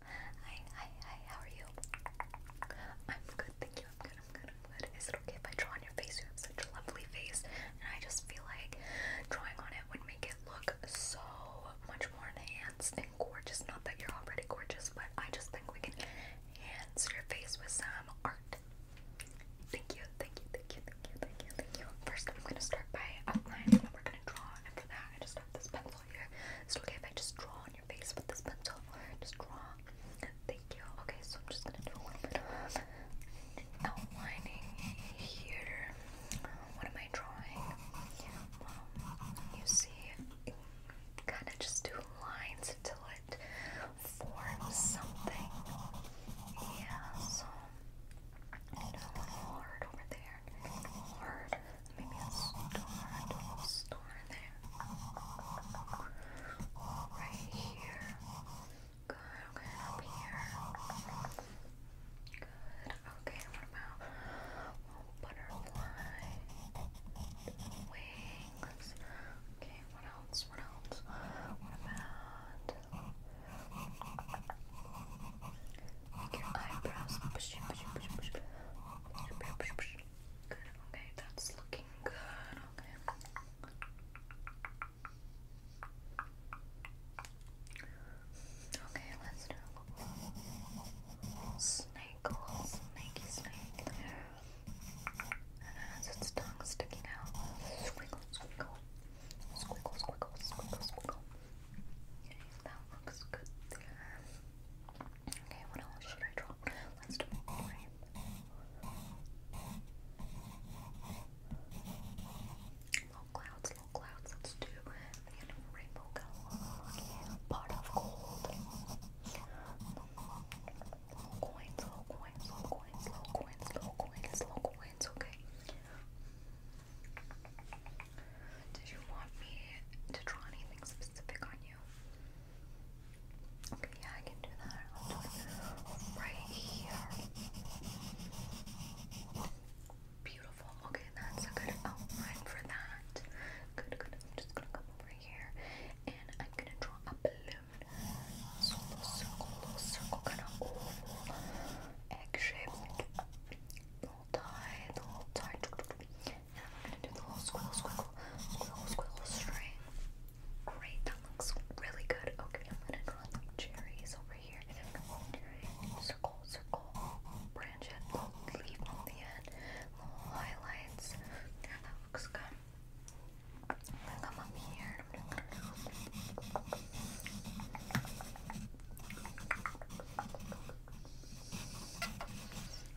Hi, hi, hi, how are you? I'm good, thank you. I'm good, I'm good, I'm good. Is it okay if I draw on your face? You have such a lovely face, and I just feel like drawing on it would make it look so much more enhanced and gorgeous. Not that you're already gorgeous, but I just think we can enhance your face with some art. Thank you, thank you, thank you, thank you, thank you, thank you. First, I'm going to start by outlining what we're going to draw, and for that, I just have this pencil okay if I just draw on your face with this pencil? Just draw. Thank you. Okay, so I'm just gonna do a little bit of outlining here. What am I drawing? you see, kind of just do lines until it forms something. Yeah, so. a little hard over there word. Maybe a star, a there. Right here. Good, okay, up here. Good, okay, what about butterfly wings? Okay, what else? What else? What about your eyebrows. Push, push, push, push. Push, push. Good. Okay, that's looking good. Okay. Okay, let's do a snake, snakey snake it has its tongue sticking out. Squiggle, squiggle. Squiggle, squiggle, squiggle, squiggle. That looks good there. Okay, what else should I draw? Let's do a line. clouds, low clouds. Let's do again, rainbow color. Part of gold. Low coins, low coins, low coins, low coins, low coins. Okay. Did you want me to draw anything specific on you? Okay, yeah, I can do that. I'll do right here. Beautiful. Okay, that's a good outline for that. Good, good. I'm just gonna come over here and I'm gonna draw a balloon. little circle, little circle, kind of oval, egg shape little tie, the little tie. And then we're gonna do the little squiggle, squiggle, squiggle, squiggle string. Great, that looks really good. Okay, I'm gonna draw some cherries over here. And I'm gonna circle, circle, branch it, leaf on the end, little highlights. Yeah, that looks good. I'm gonna come up here. I'm gonna go.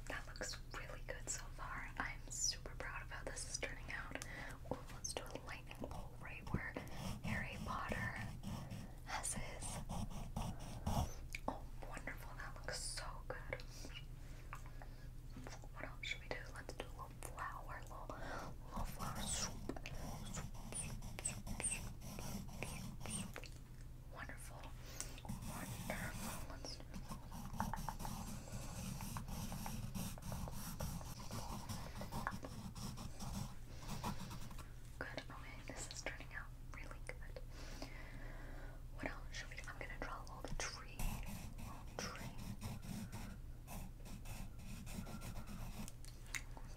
That looks really good so far. I'm super proud of how this is turning out. Oh, let's do a lightning bolt right where Harry Potter has his. Oh, wonderful. That looks so good. What else should we do? Let's do a flower, little, little flower Wonderful. Wonderful. let Good. Okay, this is turning out really good. What else should we do? I'm gonna draw a little tree. Little tree. It's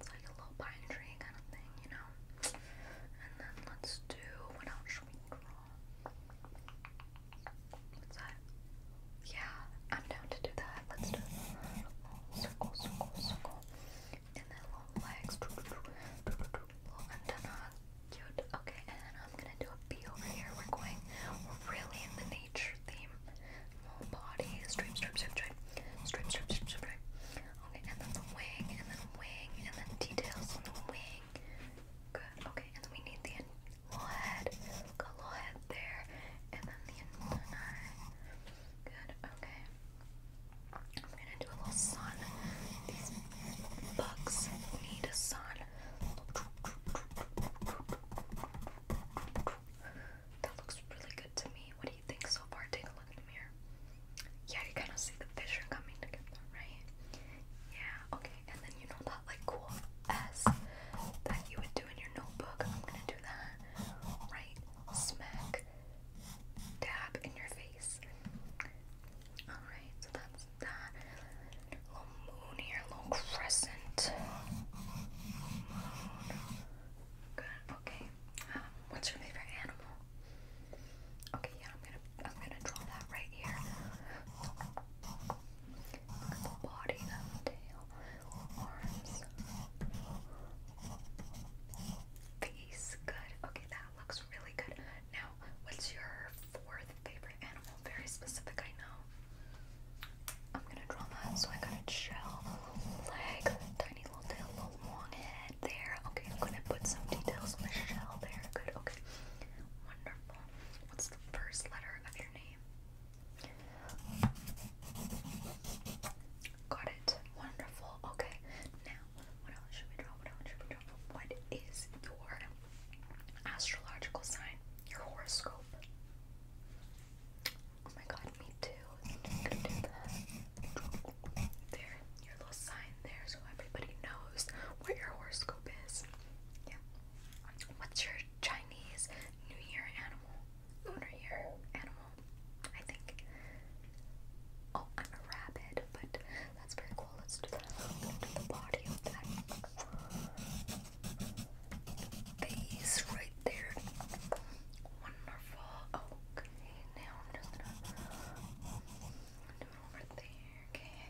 like a little pine tree kind of thing, you know? And then let's do what else we draw? What's that? Yeah, I'm down to do that. Let's do circle, circle, circle. And then long legs. Okay, and then I'm gonna do a B over here. We're going really in the nature theme. body. Stream, strip, strip, strip. strip, strip, strip, strip. Okay, and then the wing, and then wing, and then details on the wing. Good. Okay, and then we need the little head. Got a little head there, and then the antenna. Good. Okay. I'm gonna do a little sun. These bugs need a sun. That looks really good to me. What do think so far? Take a look in the mirror. Yeah, you kind of see the vision coming right? Yeah, okay. And then you know that like cool S that you would do in your notebook. I'm gonna do that. Right? Smack. Dab in your face. Alright, so that's that. Little moon here, little crescent. Good, okay. Um, what's your favorite animal? Okay, yeah, I'm gonna I'm gonna draw that right here. body tail, arms, face. Good. Okay, that looks really good. Now, what's your fourth favorite animal? Very specific, I know. I'm gonna draw that so I got a shell, leg, Okay, I'm gonna put some details on the shell there. Good, okay. Wonderful. What's the first letter of your name? Got it. Wonderful. Okay. Now, what else should we draw? What else should we draw? What is your astrological sign? Your horoscope? Oh my god, me too. There, your little sign there so everybody knows what your horoscope is. Yeah. What's your Chinese New Year animal? Lunar year animal, I think. Oh, I'm a rabbit, but that's very cool. Let's do that. let the body face right there. Wonderful. Oh, now I'm just gonna do over there, okay?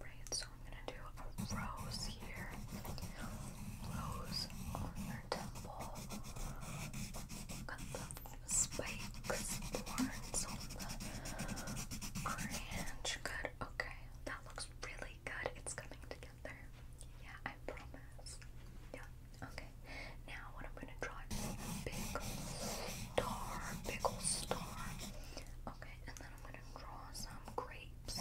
Alright, so I'm gonna do a rose here. Rose on your temple. Got the spikes, thorns Good, okay. That looks really good. It's coming together together. Yeah, I promise. Yeah, okay. Now, what I'm gonna draw is big star, big old star. Okay, and then I'm gonna draw some grapes.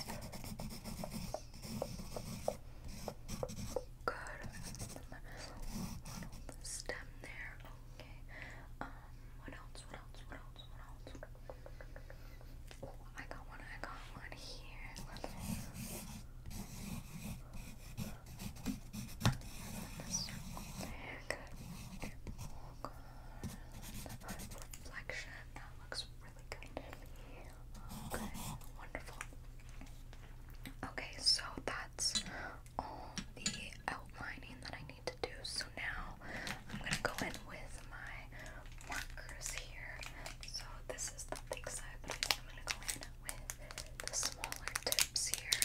Good. stem there. Okay. Um. What else? What else? What else? What else? Oh, I got one. I got one here. Okay, wonderful. Okay, so that's all um, the outlining that I need to do. So now I'm gonna go in with my markers here. So this is the thick side, but I'm gonna go in with the smaller tips here.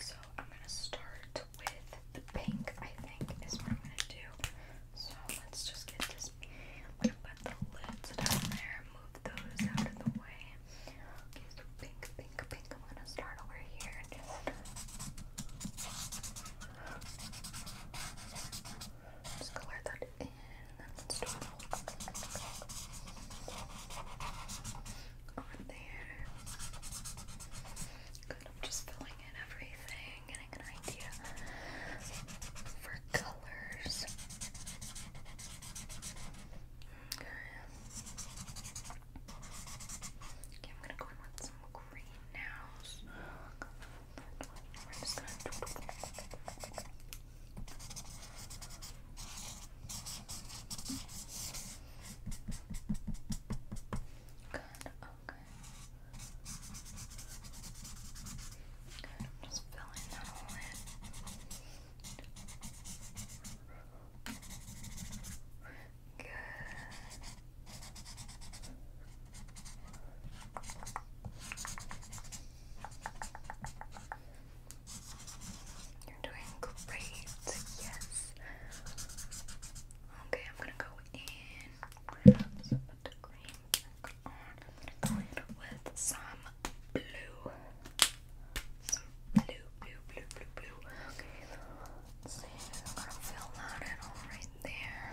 So I'm gonna start with the pink, I think, is what I'm gonna do. So let's just get this. I'm the lids down there, move those out of the way. pink, pink, pink. I'm gonna start over here and just. Just color that in, over there. Good, I'm just filling in everything, getting an idea for colors. Okay, I'm gonna go in with some green now okay. Good, I'm just filling that all in. Good. You're doing great, yes. Okay, I'm gonna go in. with some blue. blue, blue, blue, blue, blue. Okay, let I'm fill that in all right there.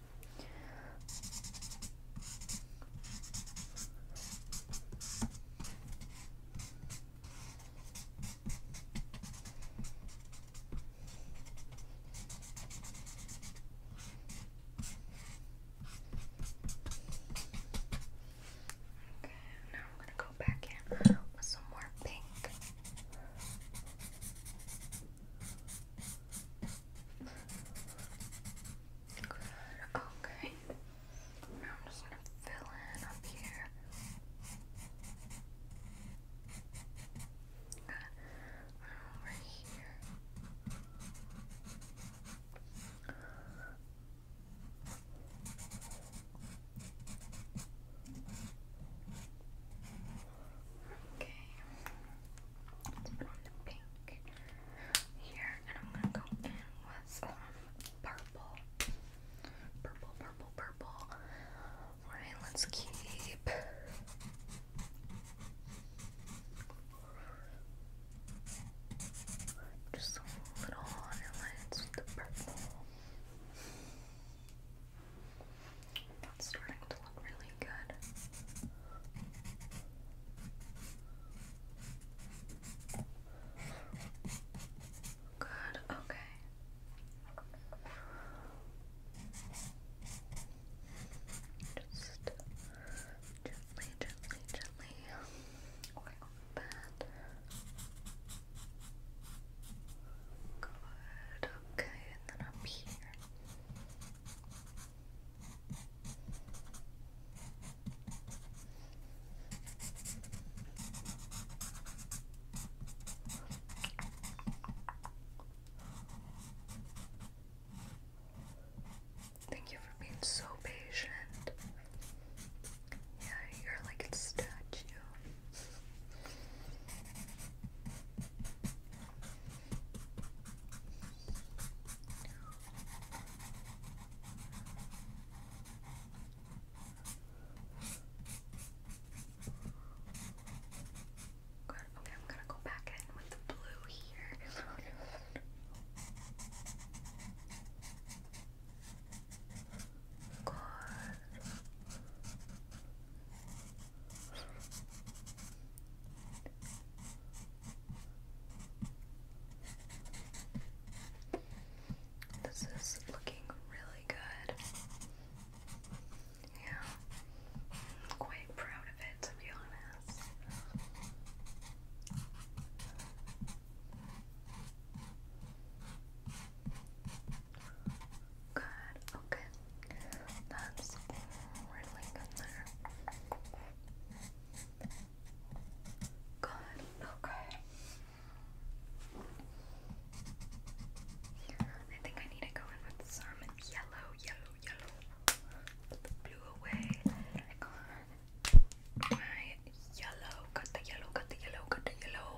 Okay, now I'm going to go back in with some more pink. Okay. Now I'm just gonna fill in up here. Good. here. Okay. Let's put on the pink here, and I'm gonna go in with um, purple, purple, purple, purple. Alright, let's keep. Just a little highlights with the purple. That's starting to look really really good. Good, okay. Just gently, gently, gently. Good, okay, and then up here. Thank you for being so patient. Yeah, you're like a statue. Good. Okay, I'm gonna go back in with the blue here. Good. This is looking really good. Yeah. I'm quite proud of it, to be honest. Good, okay. That's really good there. Good, okay. I think I need to go in with some yellow, yellow, yellow. blue away. my yellow, got the yellow, got the yellow, got the yellow.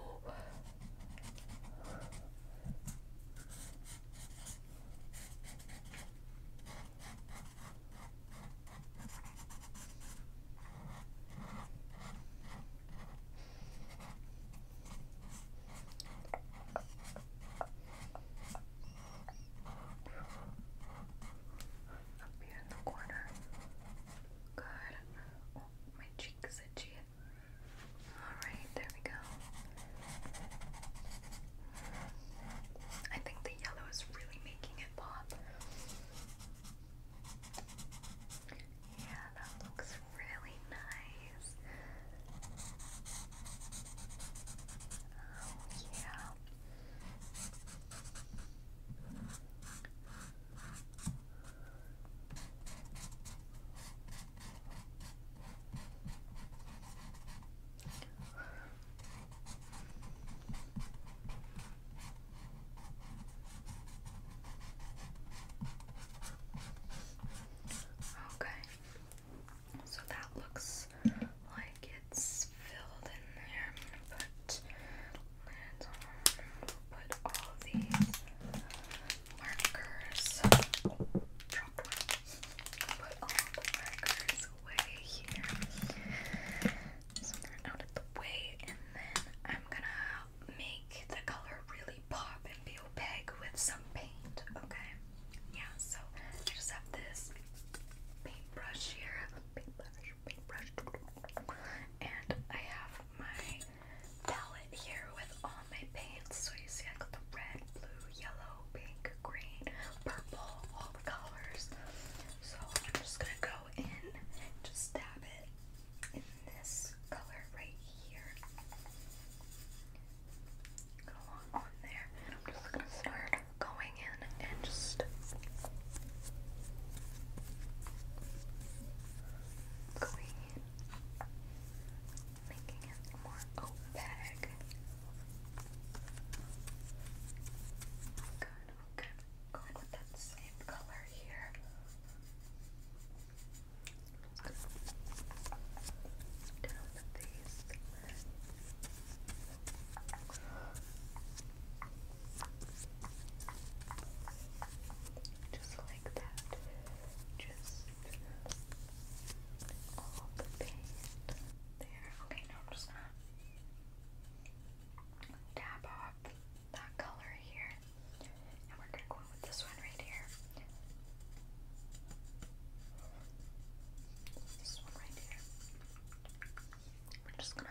Up here in the corner. Good. Oh, my cheek's itchy. Alright, there we go. I think the yellow is really making it pop. Yeah, that looks really nice. Oh, yeah. Okay, so that looks like it's filled in there. I'm gonna put Put all these markers up. Put all the markers away here. So they're out of the way, and then I'm gonna make the color really pop and be opaque with some paint, okay? Yeah, so I just have this paintbrush here. Paintbrush, paintbrush. And I have my palette here with all my paints. So you see I got the red, blue, yellow, yellow, pink, green, purple, all the colors. So I'm just gonna go in, just dab it in this color right here. Go on, on there, and I'm just gonna start going in and just going in making it more opaque. okay. Going with that same color here. Down with these. Just like that. Just all the paste there. Okay, now I'm just gonna dab off that color here, and we're gonna go in with this one right here. This one right here. We're just gonna.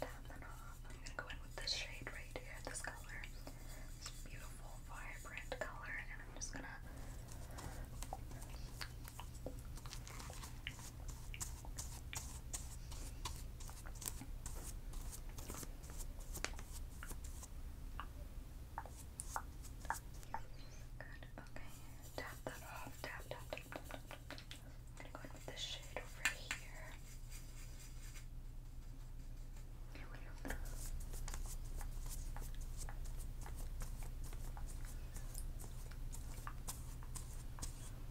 Tap and I'm gonna go in with this shade right here, this color. This beautiful, vibrant color, and I'm just gonna Good, okay. Tap that off. Tap, tap, tap, tap, tap. I'm gonna go in with this shade over here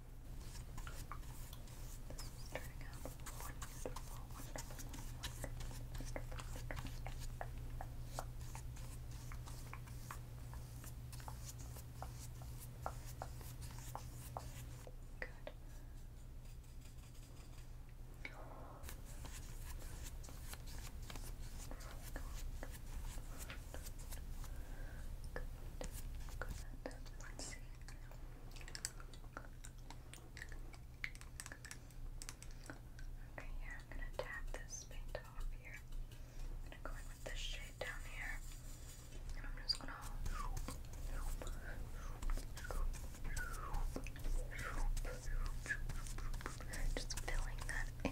This is turning out wonderful, wonderful, wonderful, wonderful. Good. Really good. Good. Good. Okay, here I'm gonna tap this paint off here. I'm going with this shade down here. I'm just gonna just filling that in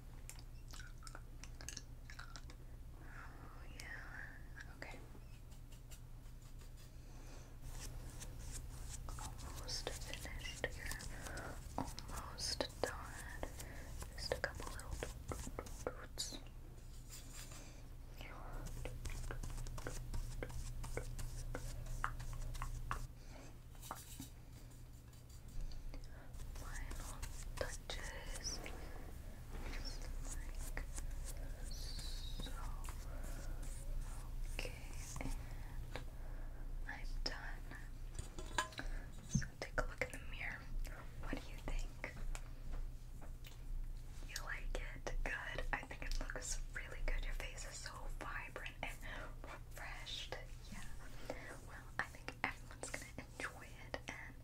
Oh, yeah. Okay. Almost finished here. Almost done. Just a couple little roots final touches, so. Okay, I'm done. So take a look in the mirror. What do you think? You like it? Good. I think it looks really good. Your face is so vibrant and refreshed. Yeah. Well, I think everyone's gonna enjoy it and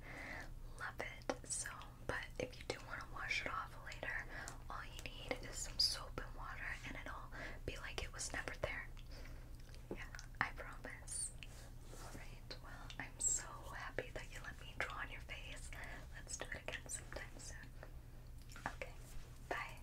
love it. So, but if you do want to wash it off later, all you need is some soap and water, and it'll be like it was never there. Yeah, I promise. Alright, well, I'm so happy that you let me draw on your face. Let's do it again sometime soon. Okay, bye.